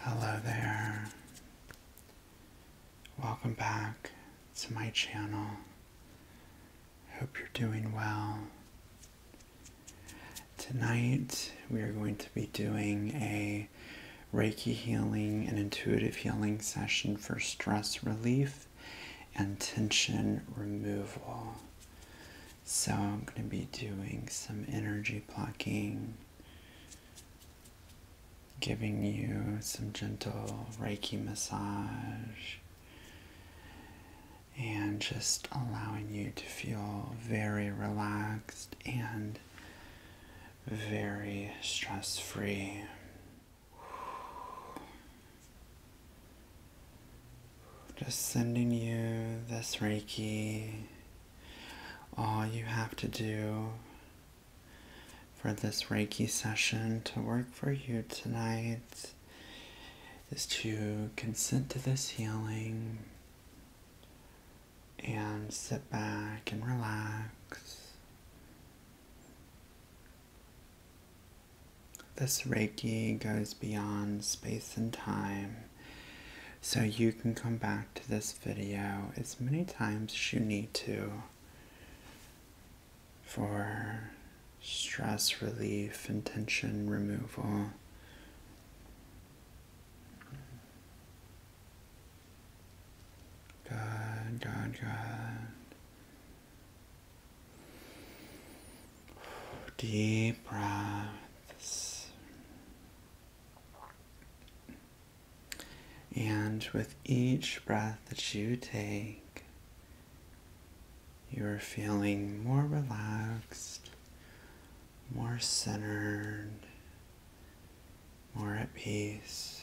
Hello there. Welcome back to my channel. Hope you're doing well. Tonight we are going to be doing a Reiki healing and intuitive healing session for stress relief and tension removal. So I'm going to be doing some energy blocking, giving you some gentle Reiki massage, and just allowing you to feel very relaxed and very stress free. Just sending you this Reiki all you have to do for this Reiki session to work for you tonight is to consent to this healing and sit back and relax. This Reiki goes beyond space and time. So you can come back to this video as many times as you need to for stress relief intention removal. Good, good, good. Deep breaths. And with each breath that you take, you are feeling more relaxed, more centered, more at peace.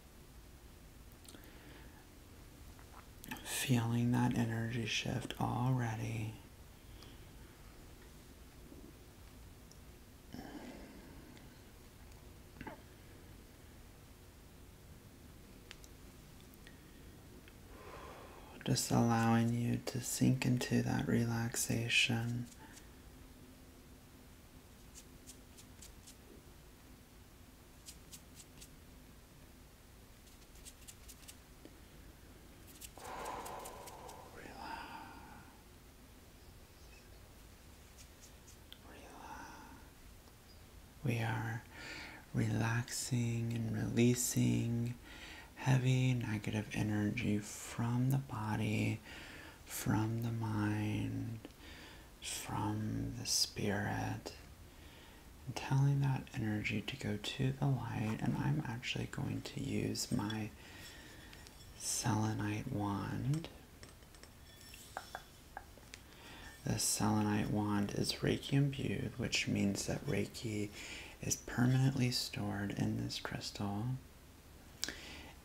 Feeling that energy shift already. Just allowing you to sink into that relaxation. We are relaxing and releasing heavy negative energy from the body from the mind, from the spirit, and telling that energy to go to the light. And I'm actually going to use my selenite wand. The selenite wand is Reiki imbued, which means that Reiki is permanently stored in this crystal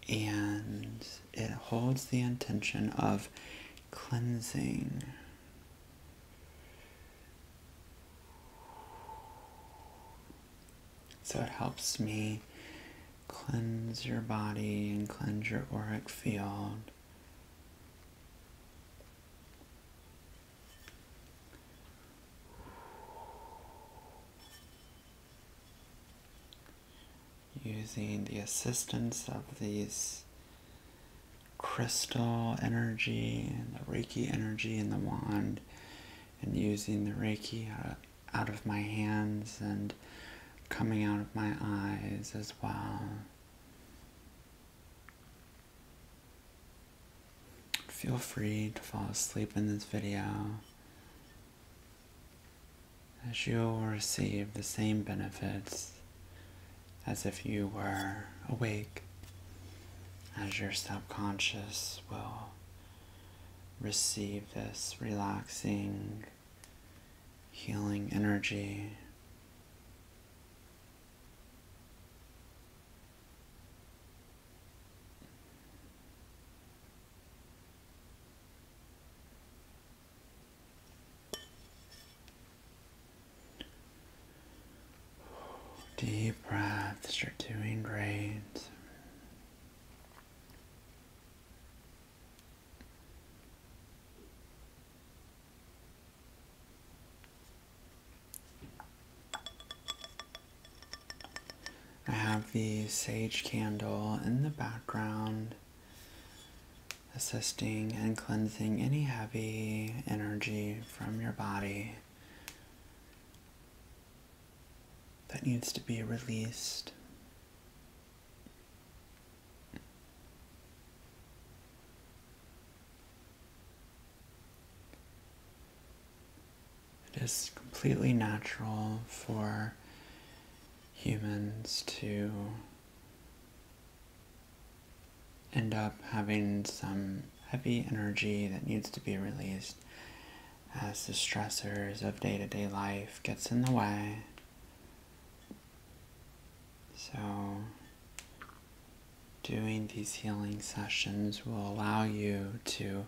and it holds the intention of cleansing. So it helps me cleanse your body and cleanse your auric field using the assistance of these crystal energy and the Reiki energy in the wand, and using the Reiki out of my hands and coming out of my eyes as well. Feel free to fall asleep in this video as you will receive the same benefits as if you were awake, as your subconscious will receive this relaxing, healing energy. Deep breaths, you're doing great. I have the sage candle in the background, assisting and cleansing any heavy energy from your body that needs to be released. It is completely natural for humans to end up having some heavy energy that needs to be released as the stressors of day-to-day life gets in the way. So doing these healing sessions will allow you to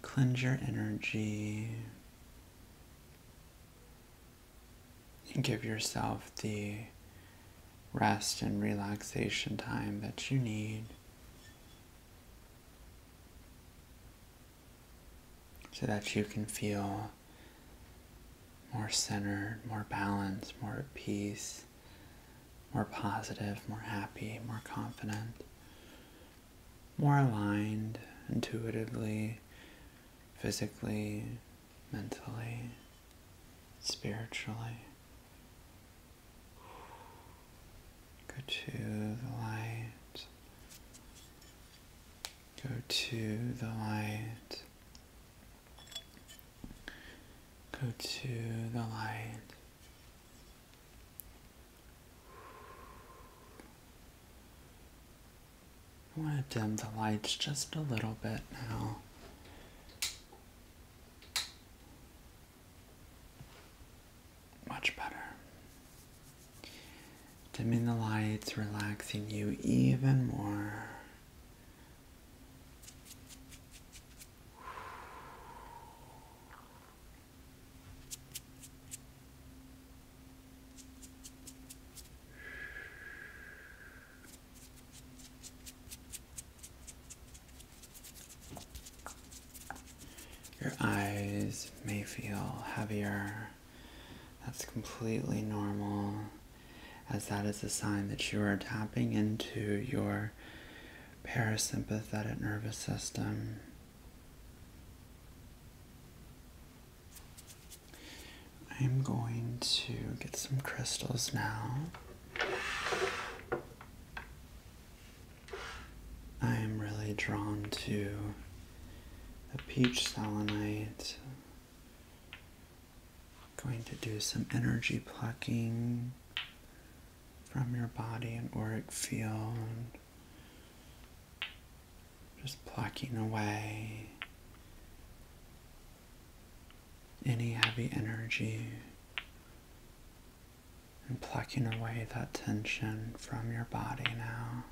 cleanse your energy give yourself the rest and relaxation time that you need so that you can feel more centered, more balanced, more at peace, more positive, more happy, more confident more aligned intuitively, physically, mentally, spiritually. Go to the light. Go to the light. Go to the light. I want to dim the lights just a little bit now. Much better. Dimming the lights, relaxing you even more. Your eyes may feel heavier. That's completely normal, as that is a sign that you are tapping into your parasympathetic nervous system. I'm going to get some crystals now. I am really drawn to the peach selenite. I'm going to do some energy plucking from your body and auric field. Just plucking away any heavy energy and plucking away that tension from your body now.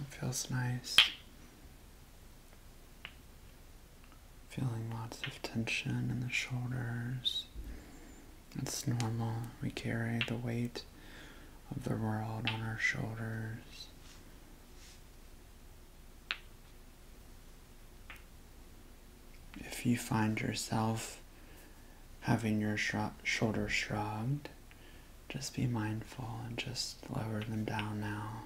It feels nice. Feeling lots of tension in the shoulders. It's normal. We carry the weight of the world on our shoulders. If you find yourself having your sh shoulders shrugged, just be mindful and just lower them down now.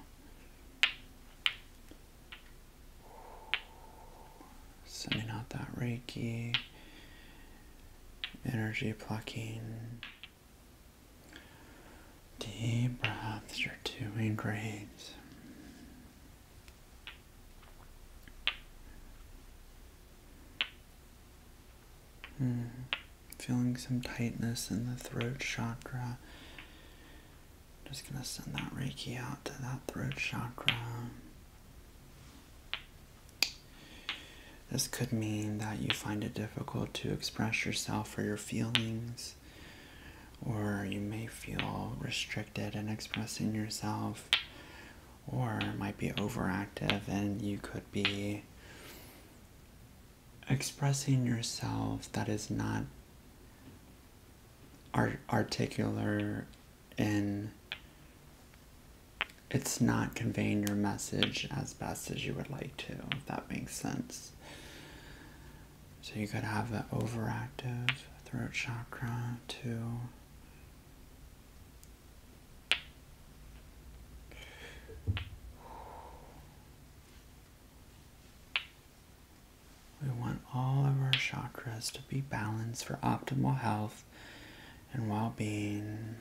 Sending out that Reiki, energy plucking. Deep breaths, you're doing great. Mm. Feeling some tightness in the throat chakra. Just gonna send that Reiki out to that throat chakra. This could mean that you find it difficult to express yourself or your feelings, or you may feel restricted in expressing yourself, or might be overactive and you could be expressing yourself that is not articular in it's not conveying your message as best as you would like to, if that makes sense. So you could have an overactive throat chakra too. We want all of our chakras to be balanced for optimal health and well being.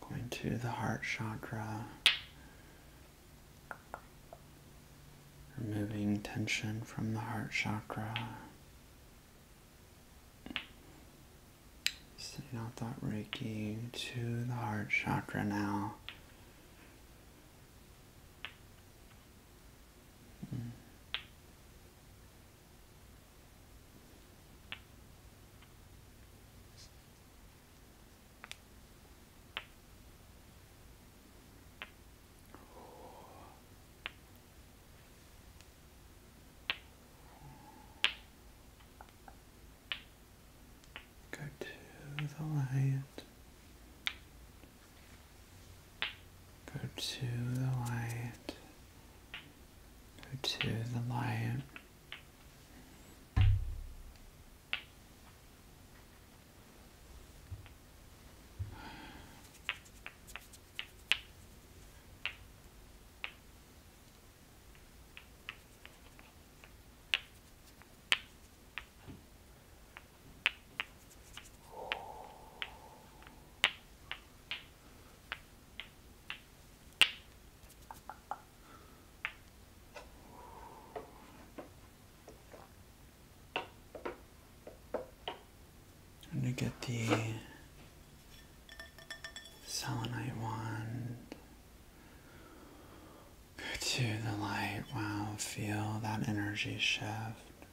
Going to the heart chakra, removing tension from the heart chakra. Sending out that Reiki to the heart chakra now. Go to the light Go to the light. Go to the light. I'm going to get the selenite wand to the light. Wow, feel that energy shift,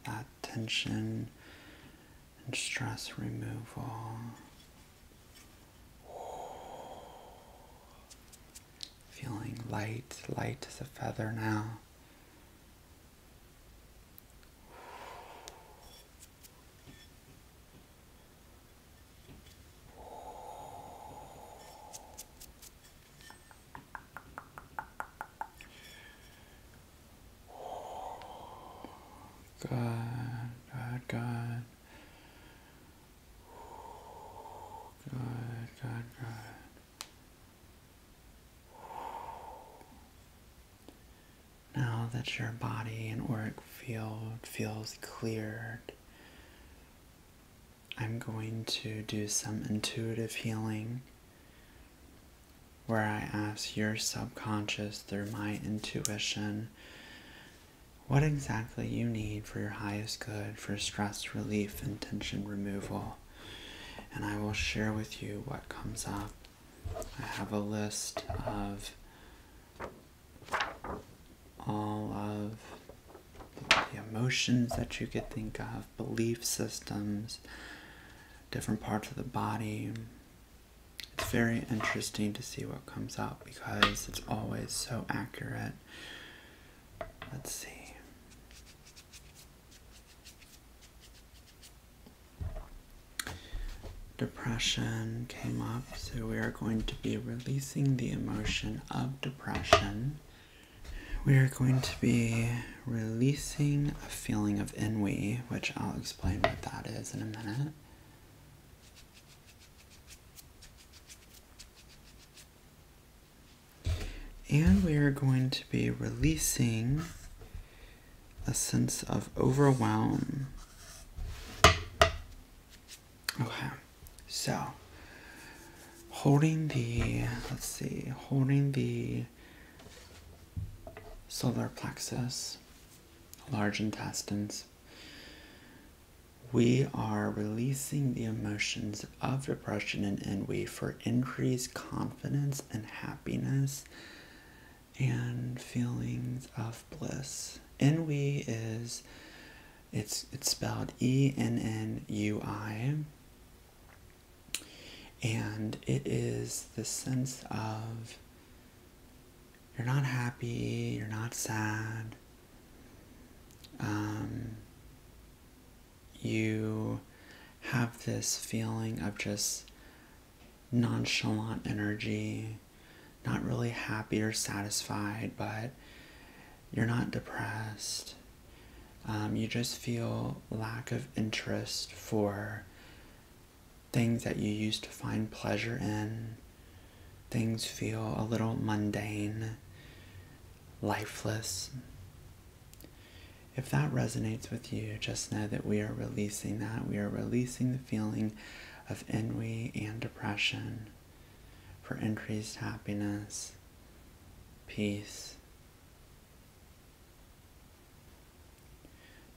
that tension and stress removal. Feeling light, light as a feather now. God, God, God. God, God, God. Now that your body and auric field feels cleared, I'm going to do some intuitive healing where I ask your subconscious through my intuition what exactly you need for your highest good for stress relief and tension removal. And I will share with you what comes up. I have a list of all of the emotions that you could think of, belief systems, different parts of the body. It's very interesting to see what comes up because it's always so accurate. Let's see. Depression came up, so we are going to be releasing the emotion of depression. We are going to be releasing a feeling of ennui, which I'll explain what that is in a minute. And we are going to be releasing a sense of overwhelm. Okay. So holding the let's see, holding the solar plexus, large intestines, we are releasing the emotions of depression and envy for increased confidence and happiness and feelings of bliss. Envy is it's it's spelled E N N U I, and it is the sense of you're not happy, you're not sad. Um, you have this feeling of just nonchalant energy, not really happy or satisfied, but you're not depressed. Um, you just feel lack of interest for things that you used to find pleasure in. Things feel a little mundane, lifeless. If that resonates with you, just know that we are releasing that. We are releasing the feeling of ennui and depression for increased happiness, peace.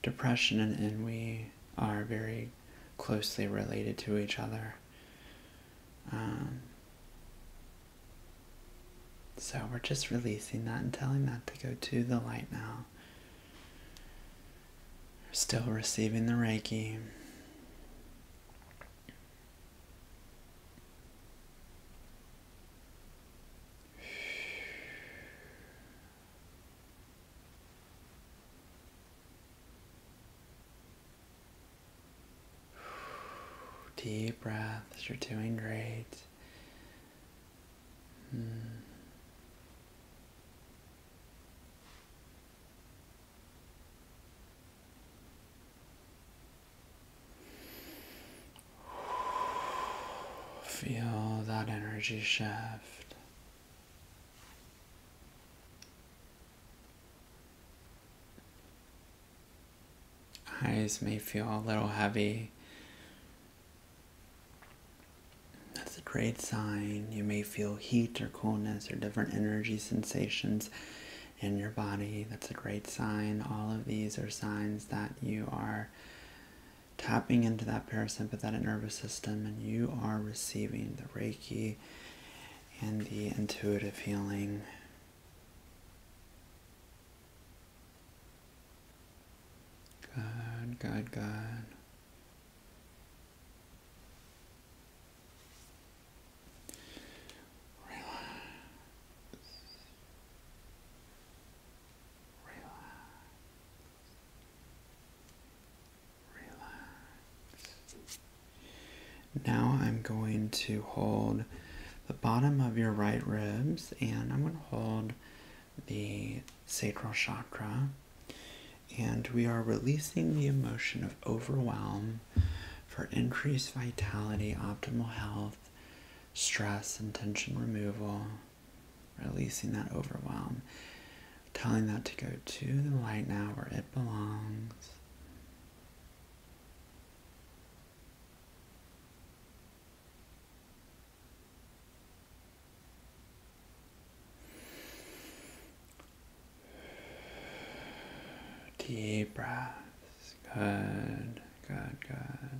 Depression and ennui are very closely related to each other. Um, so we're just releasing that and telling that to go to the light now. Still receiving the Reiki. Deep breaths, you're doing great. Hmm. Feel that energy shift. Eyes may feel a little heavy. That's a great sign. You may feel heat or coolness or different energy sensations in your body. That's a great sign. All of these are signs that you are tapping into that parasympathetic nervous system and you are receiving the Reiki and the intuitive healing. Good, good, good. Now I'm going to hold the bottom of your right ribs and I'm going to hold the sacral chakra. And we are releasing the emotion of overwhelm for increased vitality, optimal health, stress and tension removal, releasing that overwhelm, telling that to go to the light now where it belongs. Deep breaths. Good, good, good.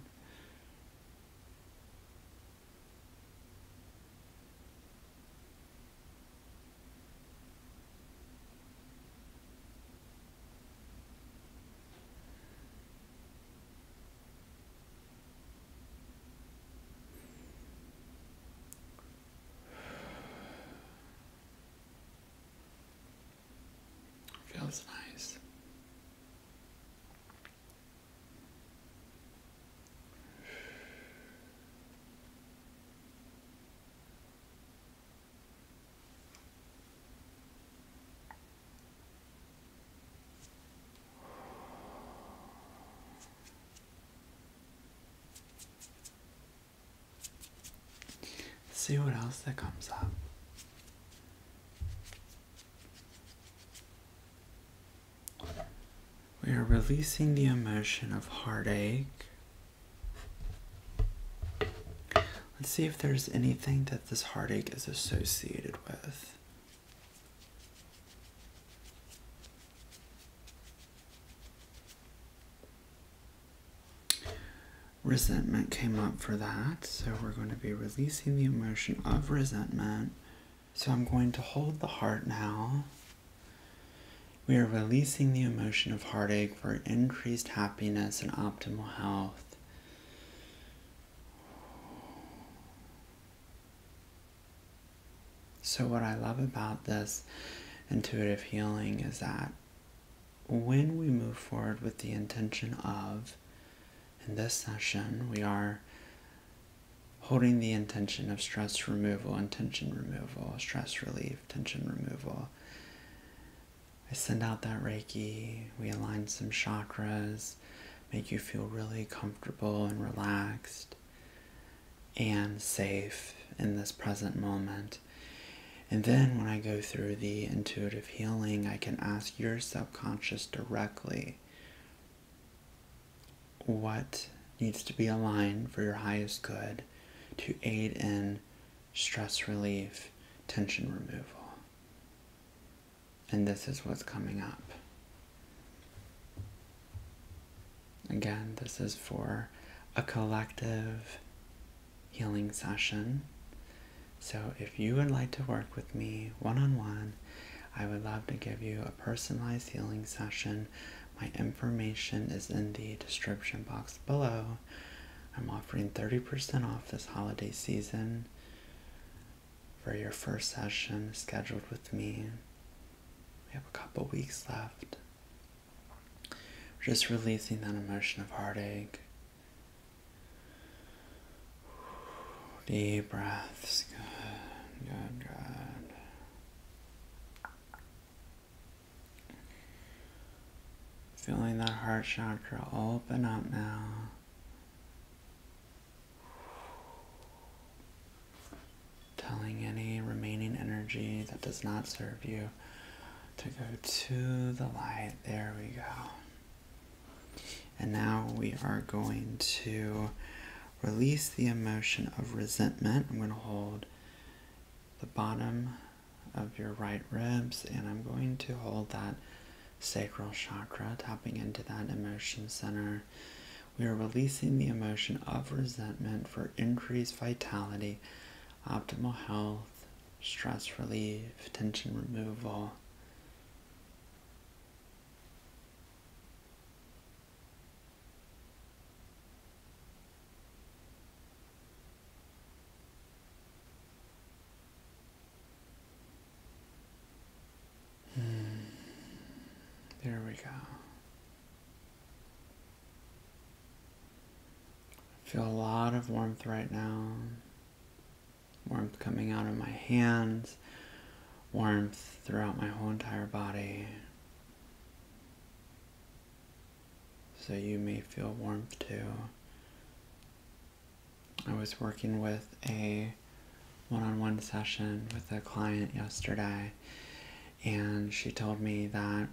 Feels nice see what else that comes up. We are releasing the emotion of heartache. Let's see if there's anything that this heartache is associated with. Resentment came up for that, so we're going to be releasing the emotion of resentment. So I'm going to hold the heart now. We are releasing the emotion of heartache for increased happiness and optimal health. So, what I love about this intuitive healing is that when we move forward with the intention of, in this session, we are holding the intention of stress removal and tension removal, stress relief, tension removal. I send out that Reiki, we align some chakras, make you feel really comfortable and relaxed. And safe in this present moment. And then when I go through the intuitive healing, I can ask your subconscious directly what needs to be aligned for your highest good to aid in stress relief, tension removal. And this is what's coming up. Again, this is for a collective healing session. So, if you would like to work with me one on one, I would love to give you a personalized healing session. My information is in the description box below. I'm offering 30% off this holiday season for your first session scheduled with me. We have a couple weeks left. Just releasing that emotion of heartache. Deep breaths. Good, good, good. Feeling that heart chakra open up now telling any remaining energy that does not serve you to go to the light. There we go. And now we are going to release the emotion of resentment. I'm going to hold the bottom of your right ribs and I'm going to hold that sacral chakra, tapping into that emotion center. We are releasing the emotion of resentment for increased vitality, optimal health, stress relief, tension removal. Hmm. There we go. I feel a lot of warmth right now. Warmth coming out of my hands, warmth throughout my whole entire body. So you may feel warmth too. I was working with a one on one session with a client yesterday, and she told me that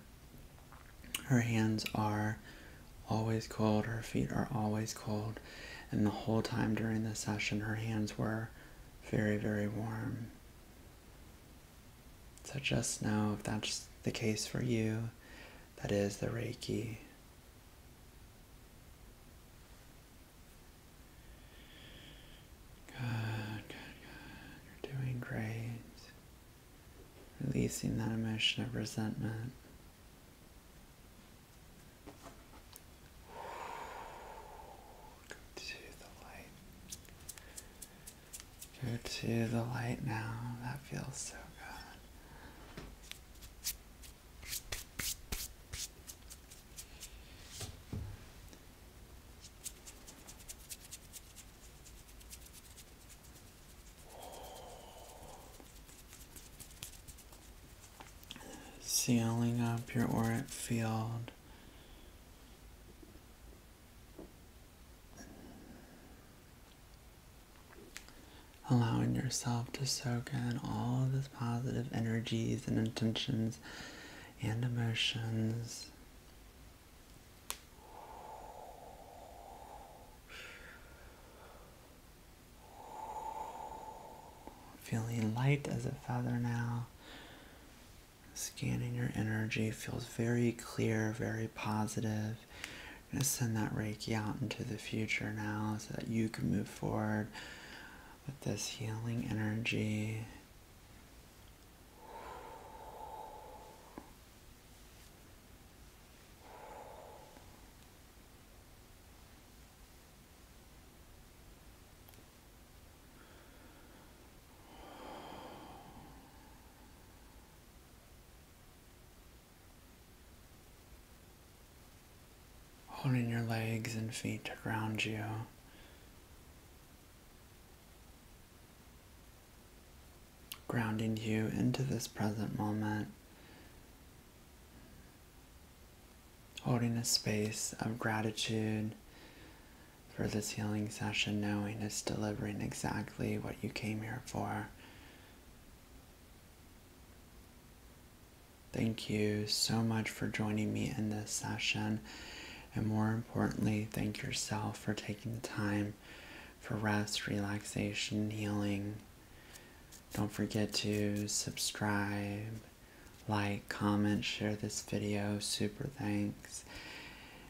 her hands are always cold, her feet are always cold, and the whole time during the session, her hands were very, very warm. So just know if that's the case for you, that is the Reiki. Good, good, good. You're doing great. Releasing that emotion of resentment. Go to the light. Go to the light now. That feels so good sealing up your auric field. Allowing yourself to soak in all of these positive energies and intentions and emotions. Feeling light as a feather now. Scanning your energy feels very clear, very positive. I'm going to send that Reiki out into the future now so that you can move forward with this healing energy. Holding your legs and feet around you grounding you into this present moment, holding a space of gratitude for this healing session, knowing it's delivering exactly what you came here for. Thank you so much for joining me in this session and more importantly, thank yourself for taking the time for rest, relaxation, healing. Don't forget to subscribe, like, comment, share this video. Super thanks.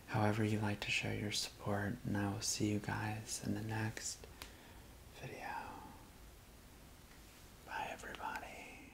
However, you like to show your support, and I will see you guys in the next video. Bye, everybody.